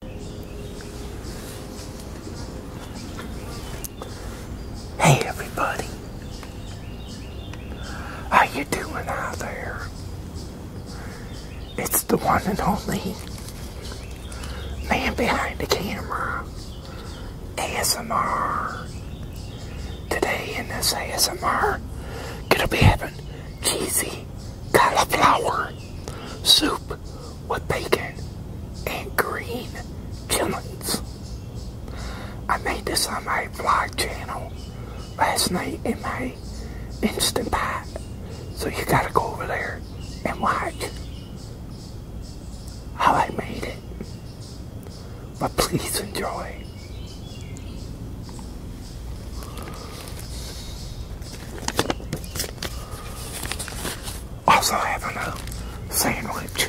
Hey everybody, how you doing out there? It's the one and only man behind the camera, ASMR. Today in this ASMR, gonna be having cheesy cauliflower soup with bacon and green chilies. I made this on my vlog channel last night in my Instant Pot. So you gotta go over there and watch how I made it. But please enjoy. Also having a uh, sandwich.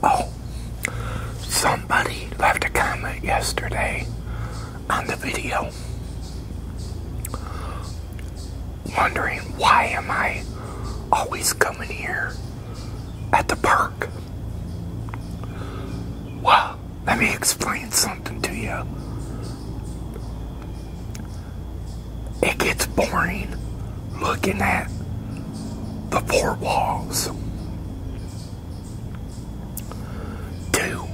Oh, somebody left a comment yesterday on the video wondering why am I always coming here at the park? Well, let me explain something to you. It gets boring looking at the four walls. Two,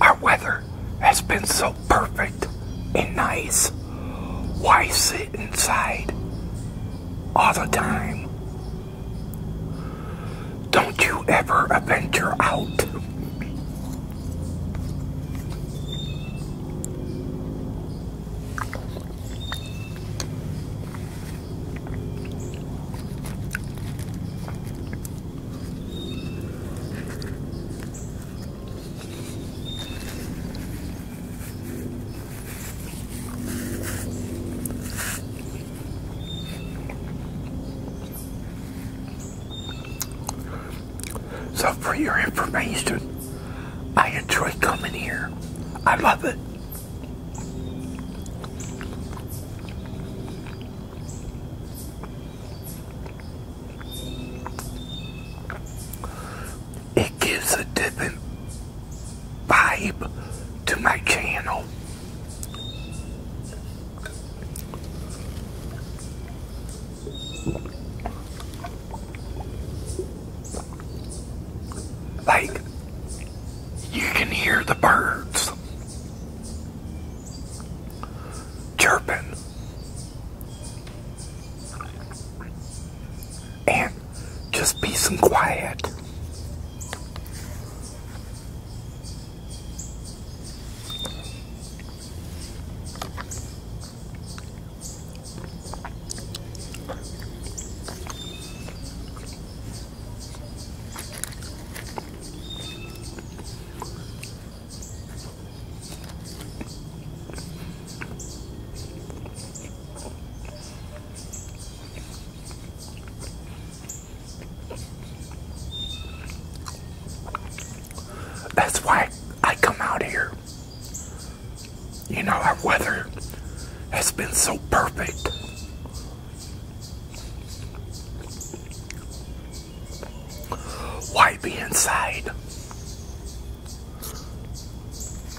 our weather has been so perfect and nice. Why sit inside all the time? Don't you ever venture out. So for your information, I enjoy coming here. I love it. It gives a different vibe to my channel. Like, you can hear the birds chirping. And just peace and quiet. That's why I come out here. You know, our weather has been so perfect. Why be inside?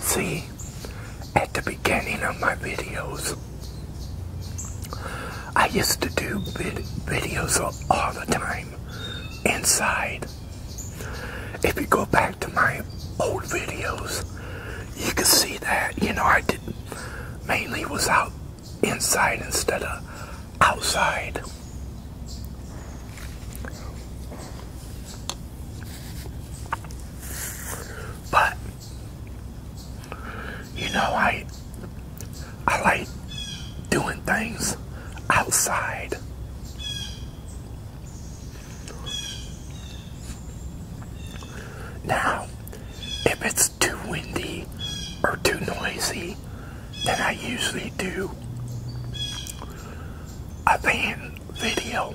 See, at the beginning of my videos, I used to do videos all the time inside. If you go back to my old videos, you can see that, you know, I did mainly was out inside instead of outside. But you know I I like doing things outside. Now, if it's too windy or too noisy, then I usually do a fan video.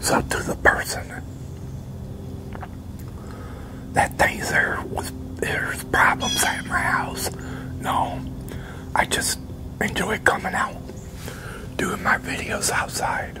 It's up to the person that thinks there was there's problems at my house. No, I just enjoy coming out doing my videos outside.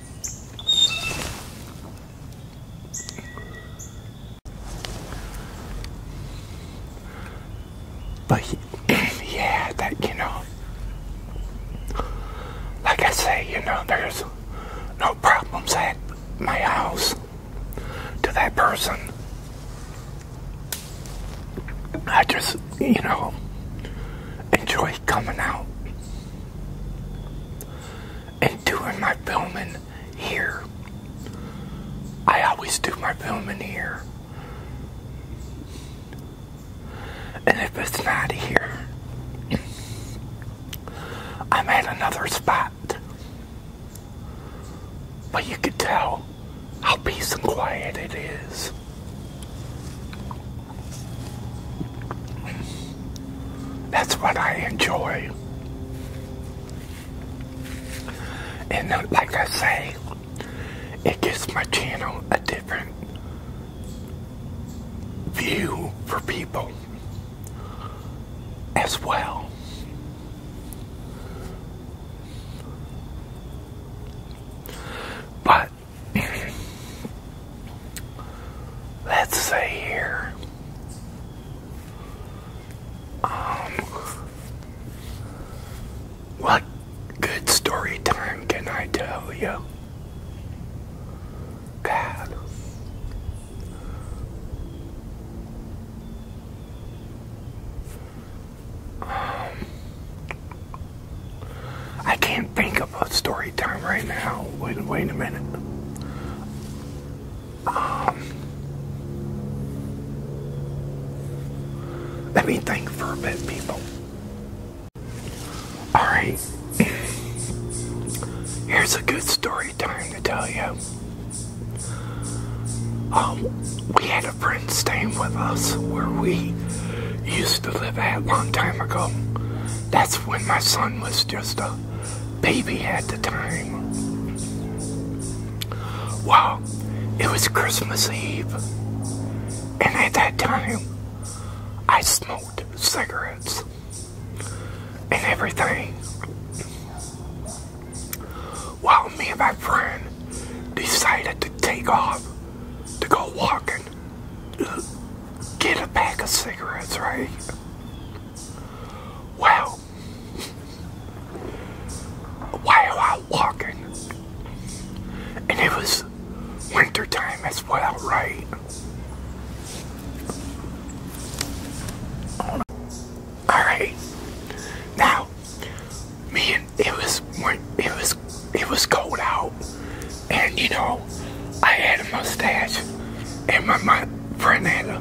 But yeah, that you know, like I say, you know, there's no problems at my house to that person. I just, you know, enjoy coming out and doing my filming here. I always do my filming here. And if it's not here, I'm at another spot. But you could tell how peace and quiet it is. That's what I enjoy. And uh, like I say, it gives my channel a different view for people as well. But let's see here. Um, what good story time can I tell you? God. Um, I can't think of a story time right now. Wait, wait a minute. Um, let me think for a bit, people. All right. Here's a good story time to tell you. Um, we had Friends staying with us where we used to live at a long time ago. That's when my son was just a baby at the time. Well, it was Christmas Eve, and at that time, I smoked cigarettes and everything while me and my friend decided to take off to go walking, get a pack of cigarettes, right? Well, while walking, and it was wintertime as well, right? Alright, now man, it was it was it was cold out, and you know, I had a mustache, and my, my friend had a,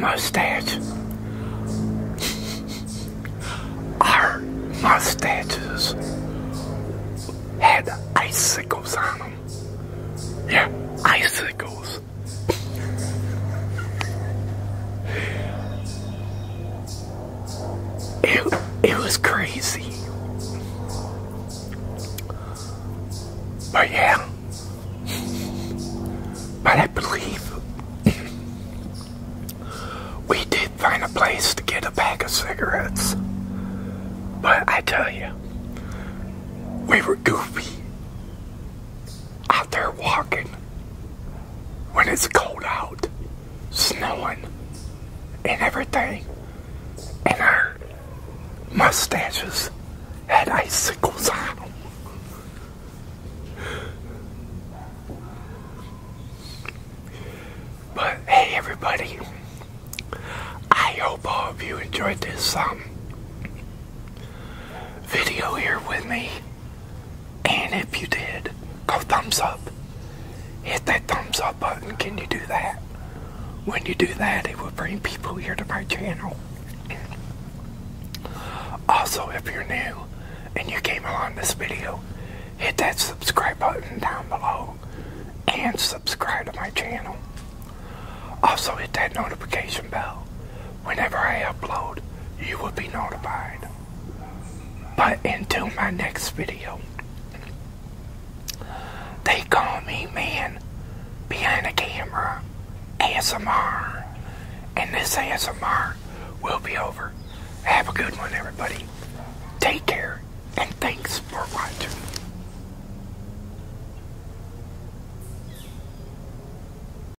mustache. Our mustaches had icicles on them. Yeah, icicles it, it was crazy. But yeah, but I believe we did find a place to get a pack of cigarettes. But I tell you, we were goofy out there walking when it's cold out, snowing, and everything, and our mustaches had icicles on them. But hey, everybody, I hope all of you enjoyed this um, video here with me. And if you did, go thumbs up. Hit that thumbs up button. Can you do that? When you do that, it will bring people here to my channel. Also, if you're new and you came along this video, hit that subscribe button down below and subscribe to my channel. Also, hit that notification bell whenever I upload, you will be notified. But until my next video, they call me man behind the camera ASMR. And this ASMR will be over. Have a good one, everybody. Take care, and thanks for watching.